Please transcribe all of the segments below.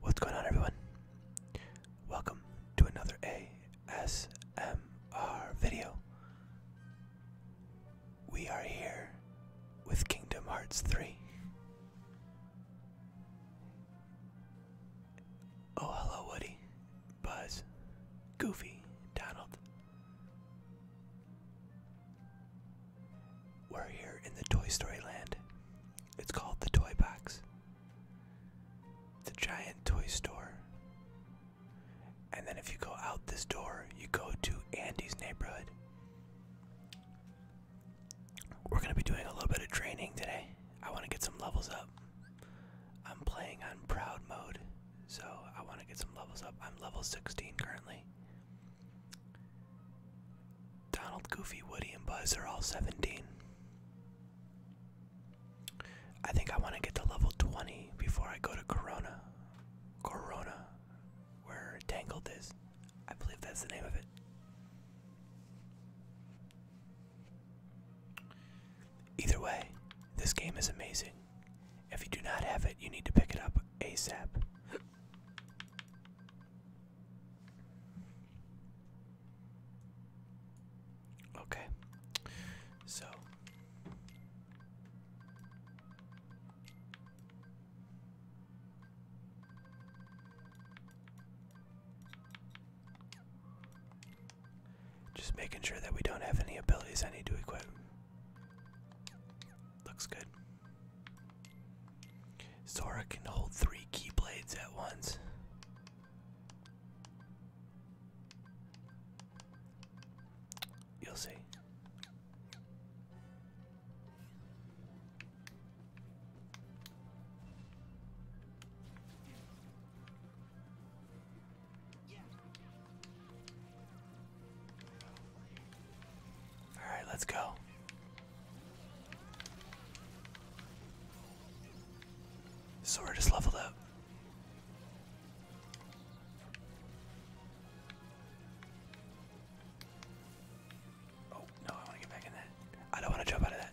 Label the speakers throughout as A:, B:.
A: What's going on, everyone? Welcome to another ASMR video. We are here with Kingdom Hearts 3. Oh, hello, Woody, Buzz, Goofy, Donald. We're here in the Toy Story Land. It's called the Toy Box. The giant toy store. And then if you go out this door, you go to Andy's neighborhood. We're going to be doing a little bit of training today. I want to get some levels up. I'm playing on proud mode, so I want to get some levels up. I'm level 16 currently. Donald, Goofy, Woody, and Buzz are all 17. I think I want to get to level 20 before I go to Corona. Corona, where Tangled is. I believe that's the name of it. Either way, this game is amazing. If you do not have it, you need to pick it up ASAP. Okay, so just making sure that we don't have any abilities I need to equip. Looks good. Sora can hold three keyblades at once. You'll see. All right, let's go. So we're just leveled up. Oh, no, I want to get back in that. I don't want to jump out of that.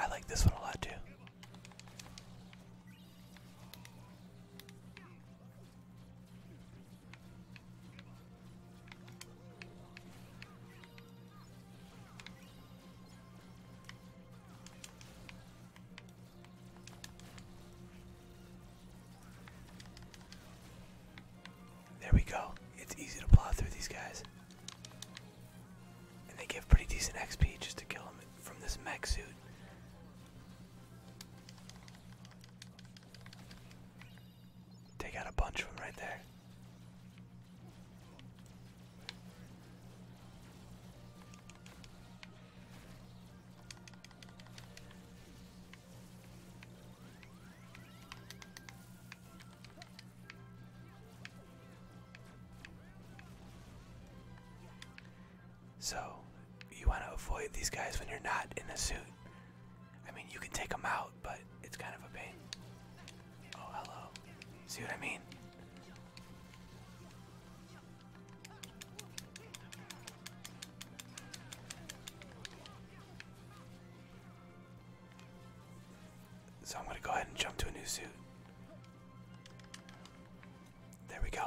A: I like this one a lot too. There we go. It's easy to plow through these guys. And they give pretty decent XP just to kill them from this mech suit. They got a bunch of them right there. So, you want to avoid these guys when you're not in a suit I mean, you can take them out, but it's kind of a pain. Oh, hello. See what I mean? So I'm gonna go ahead and jump to a new suit. There we go.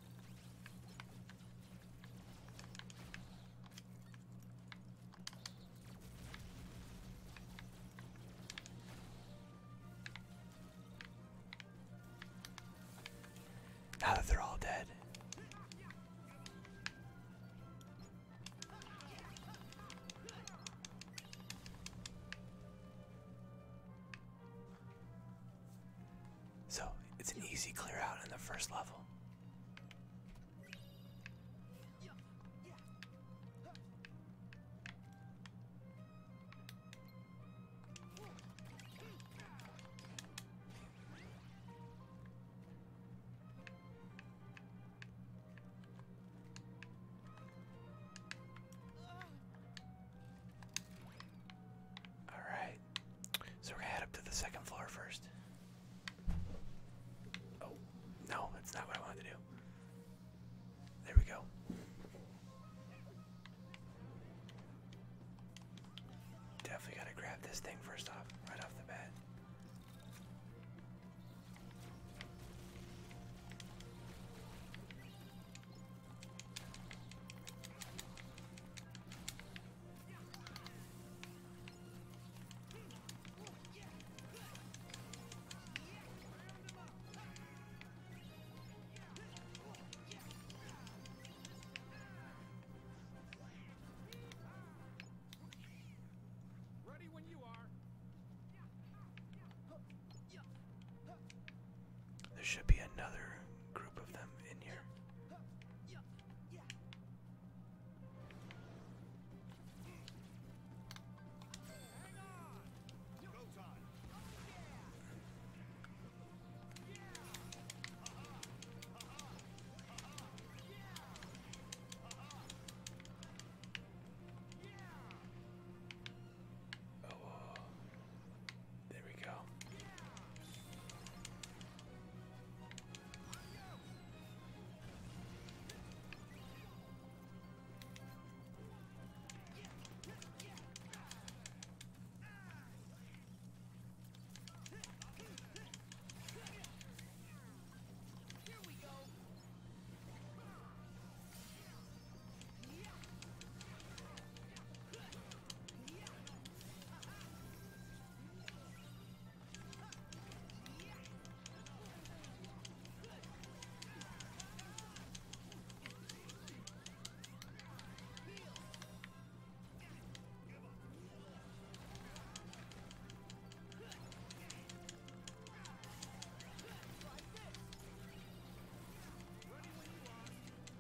A: Now that they're all dead. So it's an easy clear out in the first level. Alright. So we're gonna head up to the second floor first. Oh, no, that's not what I wanted to do. There we go. Definitely gotta grab this thing first off, right off the bat. Ready when you are. There should be another group of them in here. Oh, uh, there we go. Here we go. Ready when you are.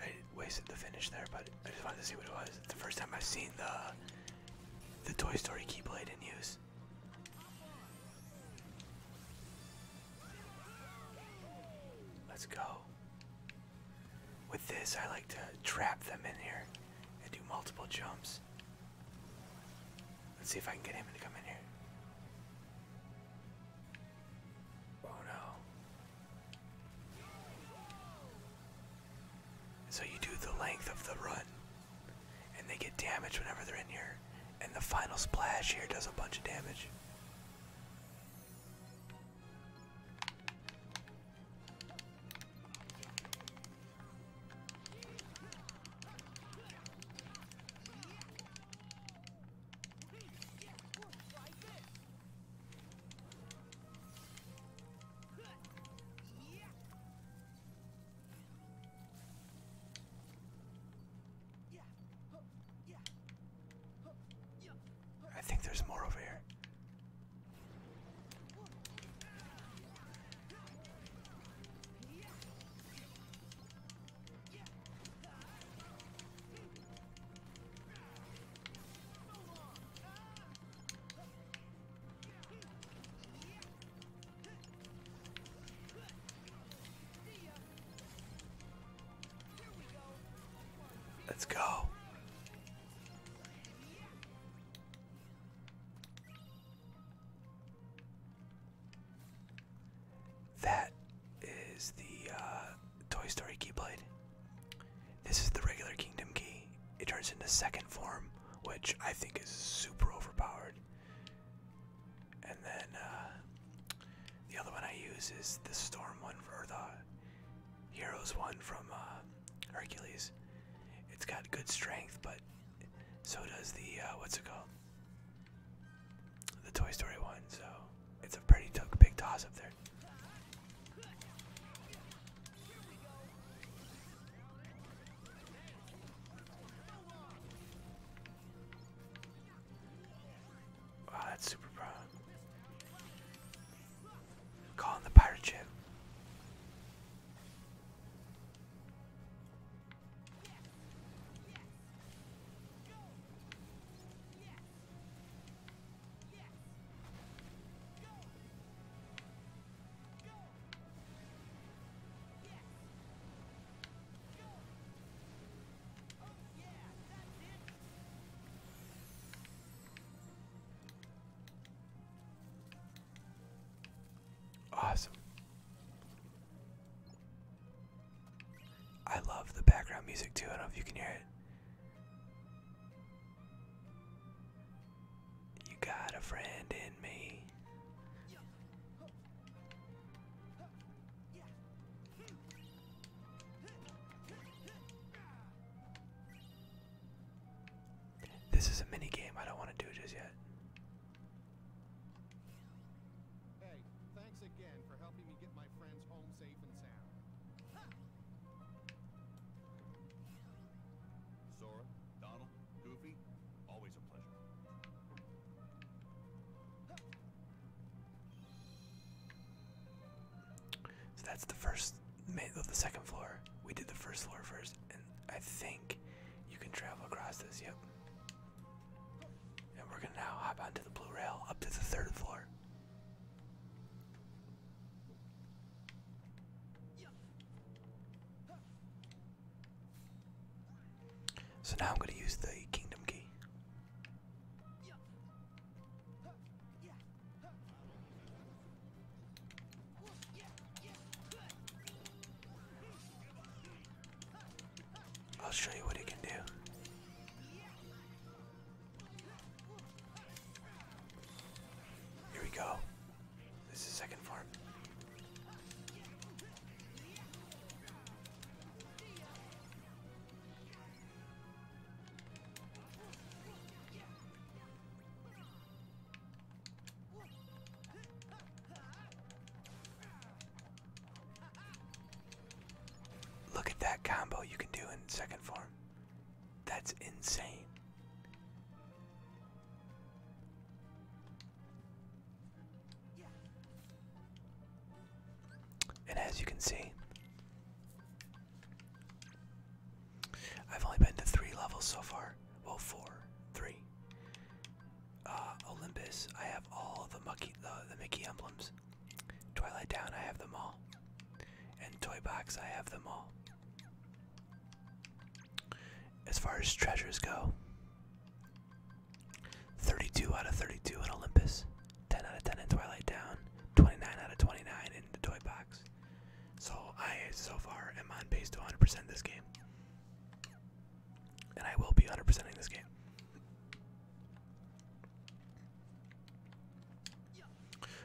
A: I wasted the finish there, but I just wanted to see what it was. the first time I've seen the the Toy Story Keyblade in use. Let's go. With this, I like to trap them in here and do multiple jumps. Let's see if I can get him to come in here. Oh no. So you do the length of the run, and they get damaged whenever they're in here. And the final splash here does a bunch of damage. I think there's more over here. Let's go. That is the uh, Toy Story Keyblade. This is the regular kingdom key. It turns into second form, which I think is super overpowered. And then uh, the other one I use is the storm one for the heroes one from uh, Hercules. It's got good strength, but so does the uh, what's it called? The Toy Story one. So it's a pretty big toss up there. Wow, that's super broad. Call the pirate ship. Awesome. I love the background music too. I don't know if you can hear it. You got a friend in me. This is a mini game. I don't want to do just yet. thanks again for helping me get my friends home safe and sound. Sora, Donald, Goofy, always a pleasure. So that's the first the second floor. We did the first floor first, and I think you can travel across this. Yep. And we're gonna now hop onto the blue rail up to the third floor. So now I'm going to use the kingdom key. I'll show you what it can do. Here we go. This is the second farm. Look at that combo you can do in second form. That's insane. And as you can see, I've only been to three levels so far. Well, four, three. Uh, Olympus, I have all the Mickey emblems. Twilight Town, I have them all. And Toy Box, I have them all. As far as treasures go, 32 out of 32 in Olympus, 10 out of 10 in Twilight Town, 29 out of 29 in the Toy Box. So I, so far, am on pace to 100% this game. And I will be 100 percent in this game.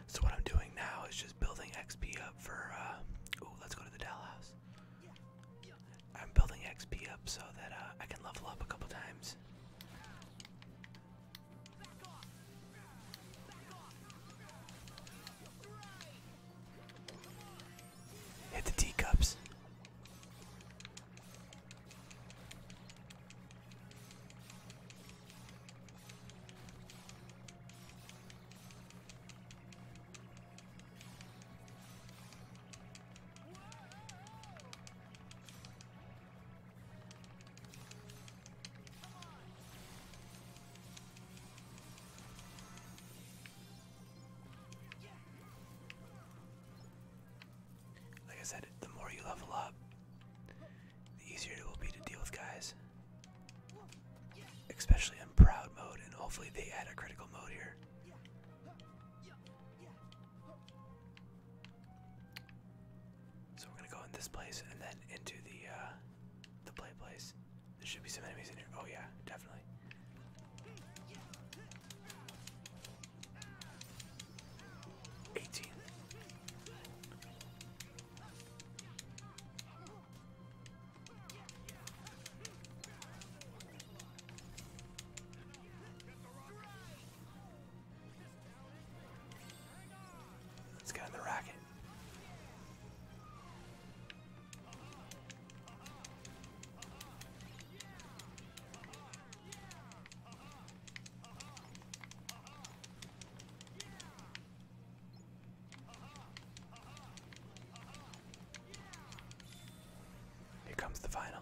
A: So what I'm doing now is just building XP up for. Uh, let's go to the Dell house. I'm building XP up so that uh, I can level up a couple times. Hit the teacups. Like I said, the more you level up, the easier it will be to deal with guys. Especially in proud mode, and hopefully they add a critical mode here. So we're gonna go in this place and then into the uh, the play place. There should be some enemies in here. Oh yeah, definitely. Eighteen. Let's get in the racket. Here comes the final.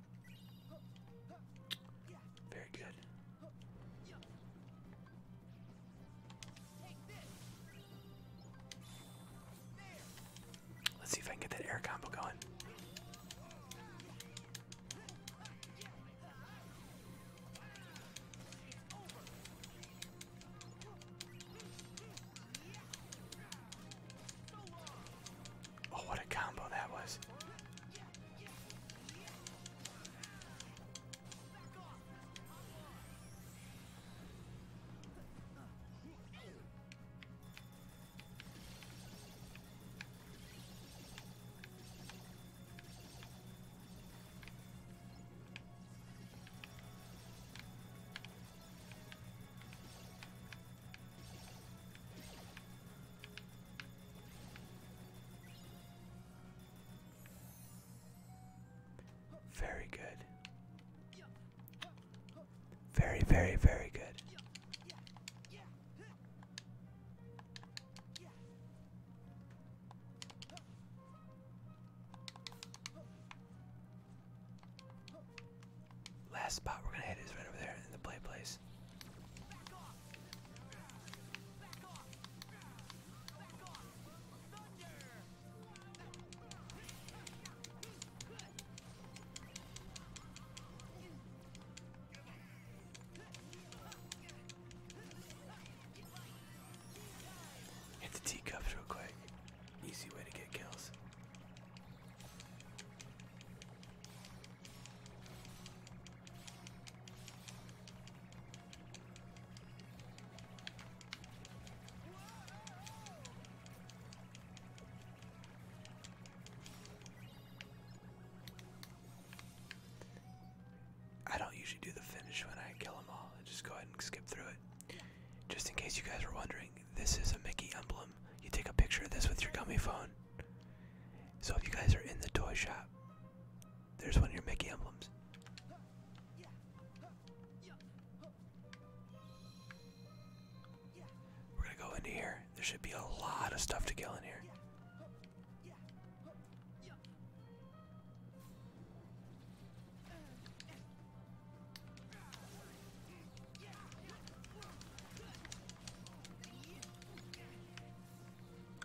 A: Very good. Let's see if I can get that air combo going. Oh, what a combo that was. Very good. Very, very, very good. Last spot we're gonna hit is right over there in the play place. Hit the teacups real quick. Easy way to get kills. I don't usually do the finish when I kill them all. just go ahead and skip through it. Just in case you guys are wondering, this is a Mickey emblem. You take a picture of this with your gummy phone. So if you guys are in the toy shop, there's one of your Mickey emblems. We're gonna go into here. There should be a lot of stuff to kill in here.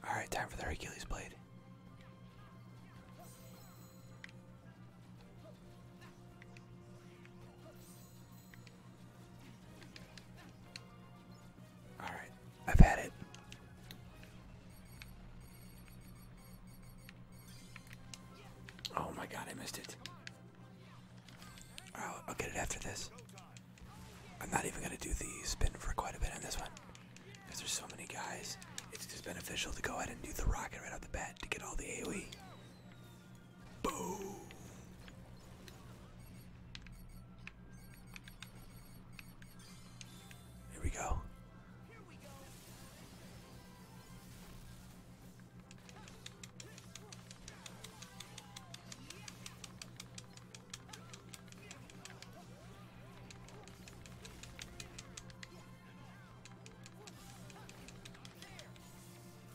A: Alright, time for the Hercules blade. Alright, I've had it. Oh my god, I missed it. Oh, I'll get it after this. I'm not even gonna do the spin for quite a bit on this one. Because there's so many guys. It's just beneficial to go ahead and do the rocket right off the bat to get all the AoE. Boom! Here we go.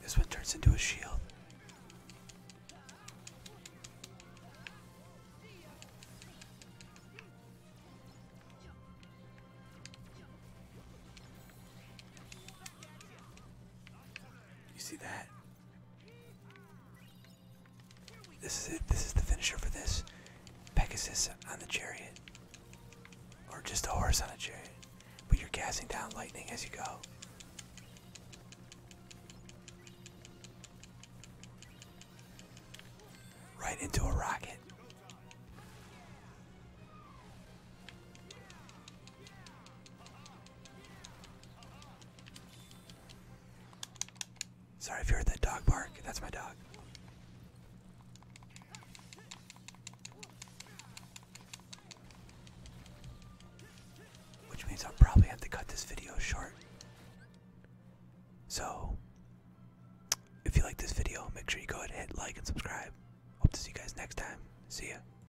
A: This one turns into a shield. You see that? This is it. This is the finisher for this. Pegasus on the chariot. Or just a horse on a chariot. But you're casting down lightning as you go. Right into a rocket. Sorry if you heard that dog bark. That's my dog. Which means I'll probably have to cut this video short. So, if you like this video, make sure you go ahead and hit like and subscribe. Hope to see you guys next time. See ya.